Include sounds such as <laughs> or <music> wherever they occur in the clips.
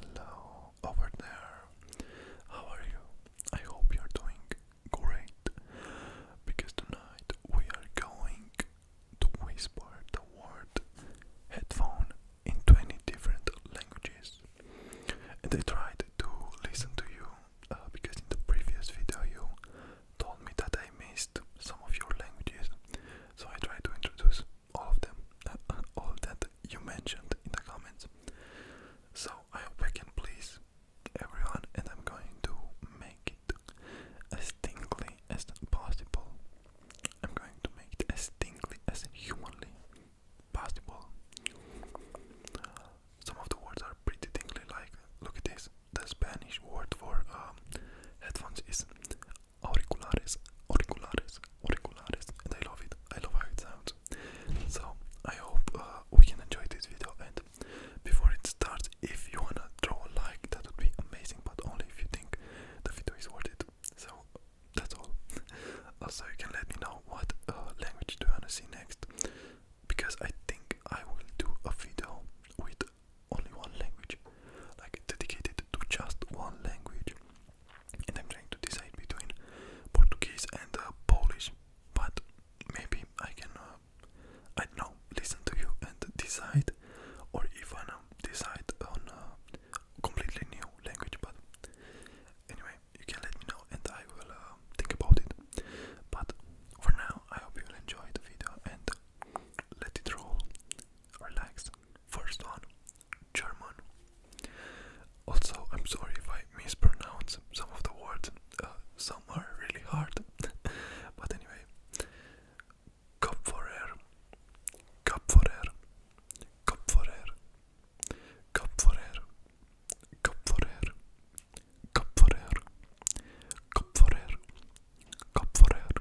Hello over there. How are you? I hope you're doing great because tonight we are going to whisper the word headphone in 20 different languages. And I tried to listen to you uh, because in the previous video you told me that I missed some of your languages. So I tried to introduce all of them, <laughs> all that you mentioned in the comments. So I hope I can please everyone, and I'm going to make it as tingly as possible. I'm going to make it as tingly as humanly possible. Some of the words are pretty tingly, like look at this. The Spanish word for um, headphones is auriculares, auriculares, auriculares, and I love it. I love how it sounds. So I hope uh, we can enjoy this video. And before it starts, if you wanna throw a like, that would be amazing. But only if you think the video is worth it. So that's all. <laughs> Also, you can let me know what uh, language do you wanna see next, because I think I will do a video with only one language like dedicated to just one language. And I'm trying to decide between Portuguese and uh, Polish, but maybe I can, uh, I know, listen to you and decide, or even um, decide on a completely new language. But anyway, you can let me know and I will uh, think about it. But for now, I hope you'll enjoy the video and let it roll, relax, First one, German. Also, I'm sorry if I mispronounce some of the words, uh, some are really hard. <laughs> but anyway, Kopforer, Kopforer, Kopforer, Kopforer, Kopforer, Kopforer, Kopforer, Kopforer,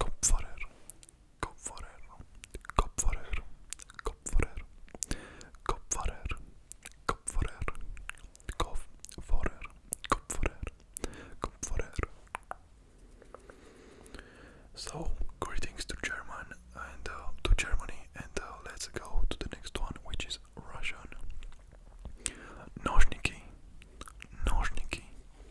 Kopfarer, Kopfarer, Kopfarer, Kopfarer, Kopfarer, Kopfarer, Kopfarer, Kopfarer, Kopfarer. So, greetings to German and uh, to Germany, and uh, let's go to the next one, which is Russian. Nozhniki, Nozhniki,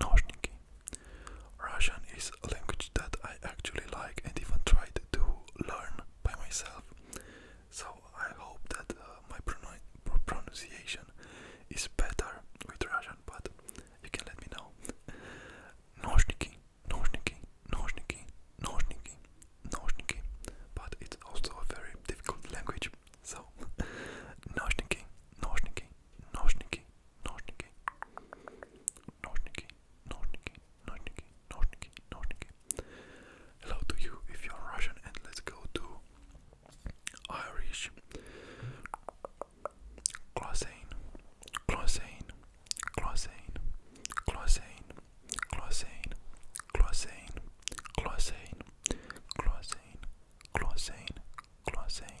Nozhniki. Russian is a language that I actually like and even tried to learn by myself. So I hope that uh, my pronun pronunciation is better with Russian, but you can let me know. Nozhniki, nozhniki, nozhniki, nozhniki, nozhniki. But it's also a very difficult language. So nozhniki, nozhniki, nozhniki, nožniki, nožniki, nožniki, nožniki, nožniki, nožniki. Hello to you if you're Russian and let's go to Irish. Closane, closane, closane, closane, closane, closane, closane, closane, closane, closane,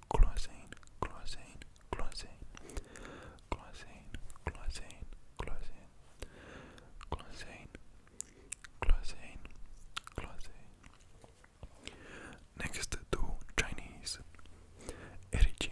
Glycine, glycine, glycine, glycine, glycine, glycine, glycine, glycine, Next to Chinese, energy,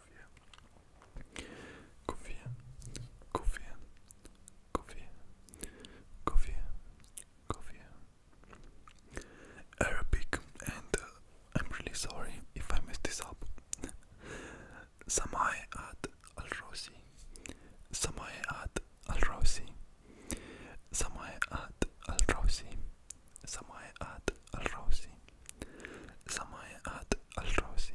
Confía. Confía. Confía. Confía. Confía. Confía. Arabic and uh, I'm really sorry if I messed this up. Samai at Al Rosi. Samai at Al Rosi. Samai at Al Rosi. Samai at Al Rosi. Samai at Al Rosi.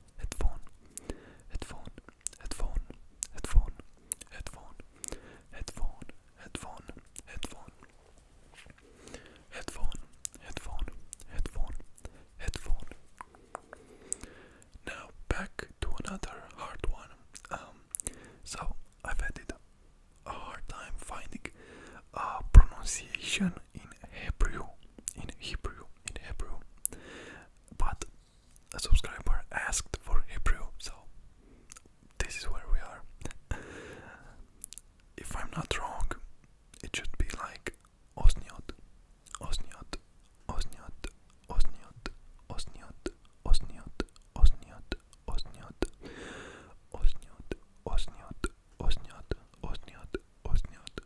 headphone, headphone, headphone, headphone, headphone, headphone, headphone, headphone, headphone, headphone, headphone, headphone. Now back to another hard one. Um, so I've had it a hard time finding a pronunciation written in Hebrew, in Hebrew, in Hebrew, but a subscriber asked for Hebrew, so this is where we are. if I'm not wrong, it should be like Osniot, Osniot, Osniot, Osniot, Osniot, Osniot, Osniot, Osniot, Osniot, Osniot, Osniot, Osniot, Osniot,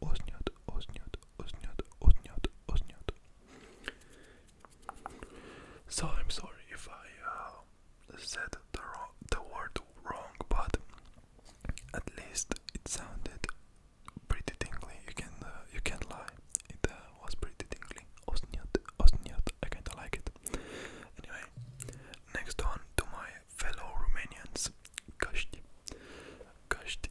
ozniot, ozniot, ozniot, ozniot, ozniot. So I'm sorry if I uh, said the wrong, the word wrong, but at least it sounded pretty tingly. You can uh, you can lie. It uh, was pretty tingly. Osniot, osniot. I kinda like it. Anyway, next on to my fellow Romanians, Kashti. Kashti,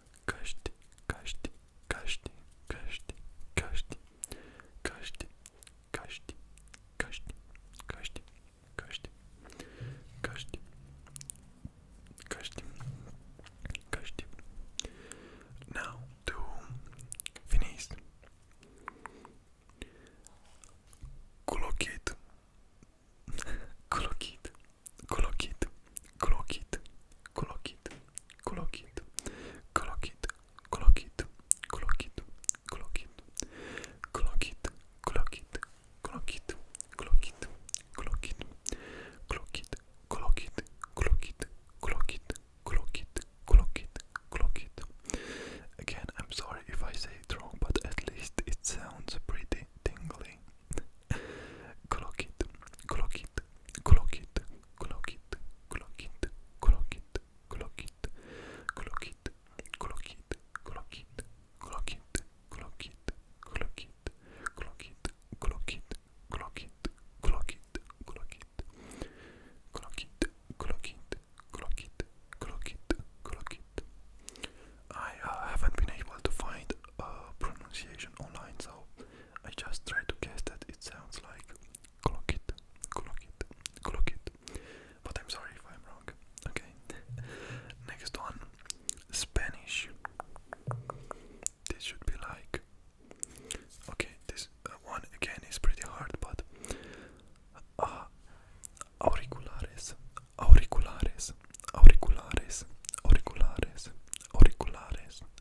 каждый, каждый, каждый, каждый, каждый, каждый, каждый, каждый, каждый, каждый, каждый, каждый, каждый. Now to finish. Colocate, colocate, colocate clock it, clock it, clock it, clock it, clock it, clock it, clock it, clock it, clock it, clock it, clock it, clock it, clock it, clock it, clock it, clock it, clock it, clock it, clock it. Again, I'm sorry if I say it wrong, but at least it sounds pretty tingly. clock it, clock it, clock it, clock it, clock it, clock it, clock it, clock it, clock it, clock it, clock it, clock it, I haven't been able to find uh, pronunciation online, so I just try to guess that it sounds like Klokit, Klokit, Klokit. But I'm sorry if I'm wrong. Okay. <laughs> Next one, Spanish. This should be like. Okay, this uh, one again is pretty hard, but. Uh, auriculares, auriculares, auriculares, auriculares, auriculares,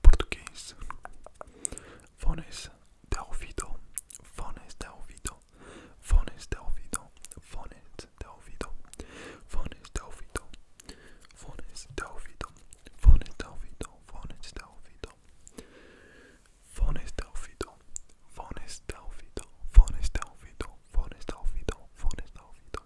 Português. Fones de ouvido. Fones de ouvido. Fones de ouvido. Fones de ouvido. Fones de ouvido. Fones de ouvido. Fones de ouvido. Fones de ouvido. Fones de ouvido. Fones de ouvido. Fones de ouvido. Fones de ouvido. Fones de ouvido.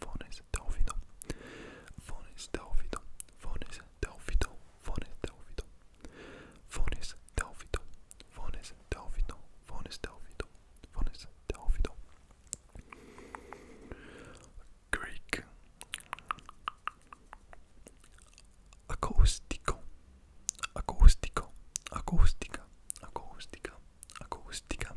Fones Delfido, Fones Delfido, Fones Delfido, Fones Delfido, Fones Delfido, Fones Delfido, Fones Delfido, Fones Delfido. Greek Acoustico, Acoustico, Acoustica, Acoustica, Acoustica,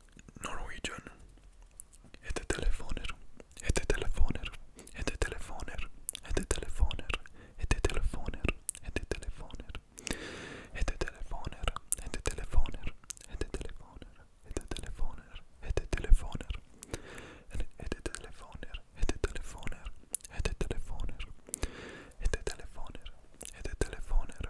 Norwegian. Hete telefoner. Hete telefoner. Hete telefoner. Hete telefoner. Hete telefoner. Hete telefoner. Hete telefoner. Hete telefoner. Hete telefoner. Hete telefoner. Hete telefoner. Hete telefoner. Hete telefoner. Hete telefoner. Hete telefoner. Hete telefoner.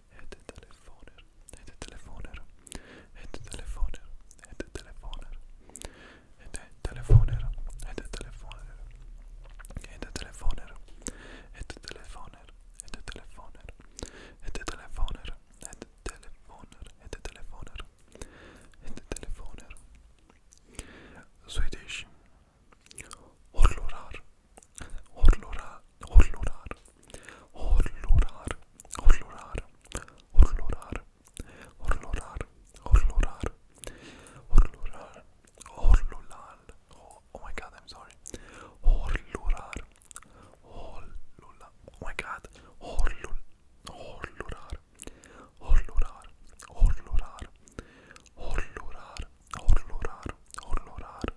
Het telefoner, het telefoner, het telefoner, het telefoner, het telefoner, het telefoner, het telefoner, het telefoner, het telefoner, het telefoner, het telefoner, het telefoner, het telefoner. Swedish. Horlorar horlorar, horlorar, horlorar, horlorar, horlorar, horlorar, horlorar, horlorar, horlolar. Oh, oh my god, I'm sorry. Horlorar, horlolar. Oh my god, horlol, horlorar, horlorar, horlorar, horlorar, horlorar, horlorar.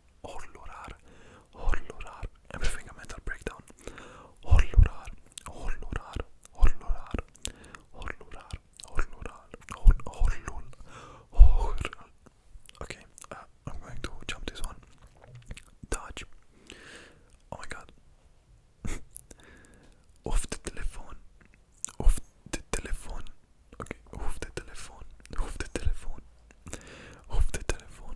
horlorar, horlorar. I'm having a mental breakdown. Horlorar, horlorar, horlorar, horlorar, horlorar, horlol, hor. Okay, uh, I'm going to jump this one. Dodge. Oh my god. <laughs> Off the telephone. Off the telephone. Okay, off the telephone. Off the telephone. Off the telephone.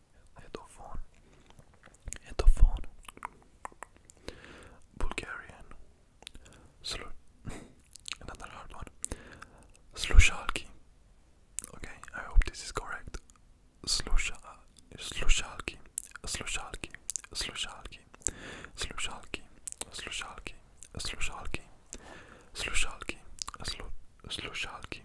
Edofon, Edofon, Bulgarian, Slu <laughs> another hard one, Slushalki. Okay, I hope this is correct. Slusha, Slushalki, Slushalki, Slushalki, Slushalki, Slushalki, Slushalki, Slushalki, Slushalki,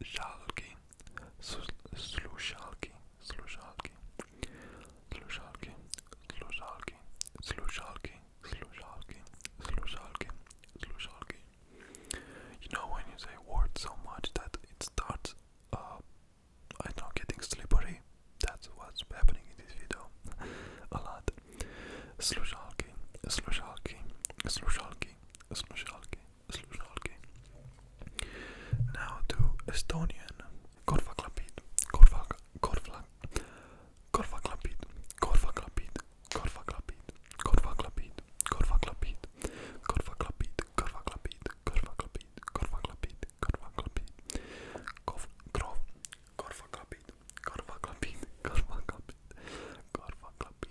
Żalki, Sluszalki, Sluszalki, Sluszalki, Sluszalki, Sluszalki, Sluszalki, Sluszalki, Sluszalki. You know when you say a word so much that it starts, uh, I don't know, getting slippery. That's what's happening in this video <laughs> a lot. Sluszalki, Sluszalki, Sluszalki, Sluszalki slušalky. Now to Estonian. Korva klapid, korva, korva, korva klapid, korva klapid, korva klapid, korva klapid, korva klapid, korva klapid, korva klapid, korva klapid, korva klapid, korva klapid, korva klapid, korva klapid, korva klapid, korva klapid, korva klapid,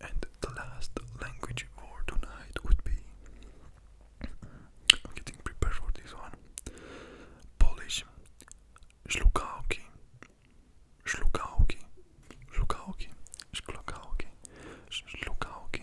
And the last language for tonight would be I'm getting prepared for this one. Polish. Szlukałki. Szlukałki. Szlukałki. Szlukałki. Szlukałki.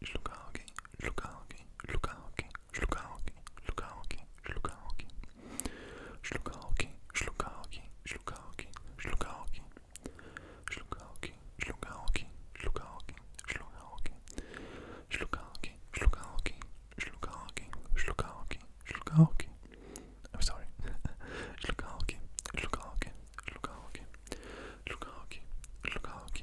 Lukaku, Lukaku, Lukaku, Lukaku, Lukaku, Lukaku, Lukaku, Lukaku, Lukaku, Lukaku, Lukaku, Lukaku, Lukaku, Lukaku, Lukaku, Lukaku, Lukaku, Lukaku, Lukaku. I'm sorry. Lukaku, Lukaku, Lukaku, Lukaku, Lukaku,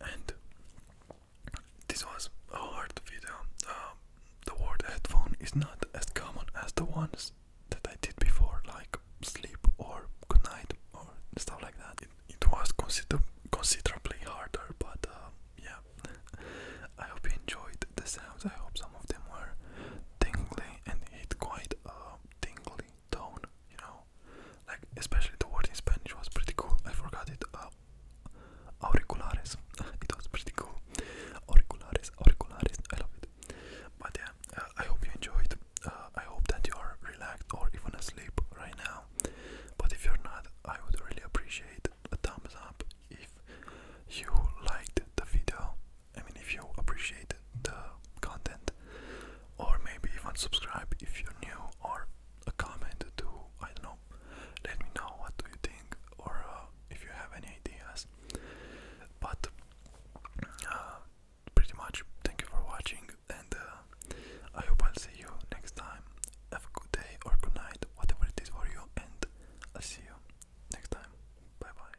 And this was a hard video. Um, the word headphone is not as common as the ones that I did before, like sleep or good night or stuff like that. It, was consider considerably harder, but uh, yeah. <laughs> I hope you enjoyed the sounds. I hope some of them were tingly and hit quite uh, tingly tone, you know, like especially the word in Spanish was pretty cool. I forgot it. Uh, auriculares. <laughs> it was pretty cool. Auriculares, auriculares. I love it. But yeah, uh, I hope you enjoyed. Uh, I hope that you are relaxed or even asleep right now. But if you're not, I would really appreciate a thumbs up if you liked the video. I mean, if you appreciate the uh, content, or maybe even subscribe if you're new, or a comment to I don't know. Let me know what do you think, or uh, if you have any ideas. But uh, pretty much, thank you for watching, and I hope I'll see you next time. Have a good day or good night, whatever it is for you, and I'll see you next time. Bye bye.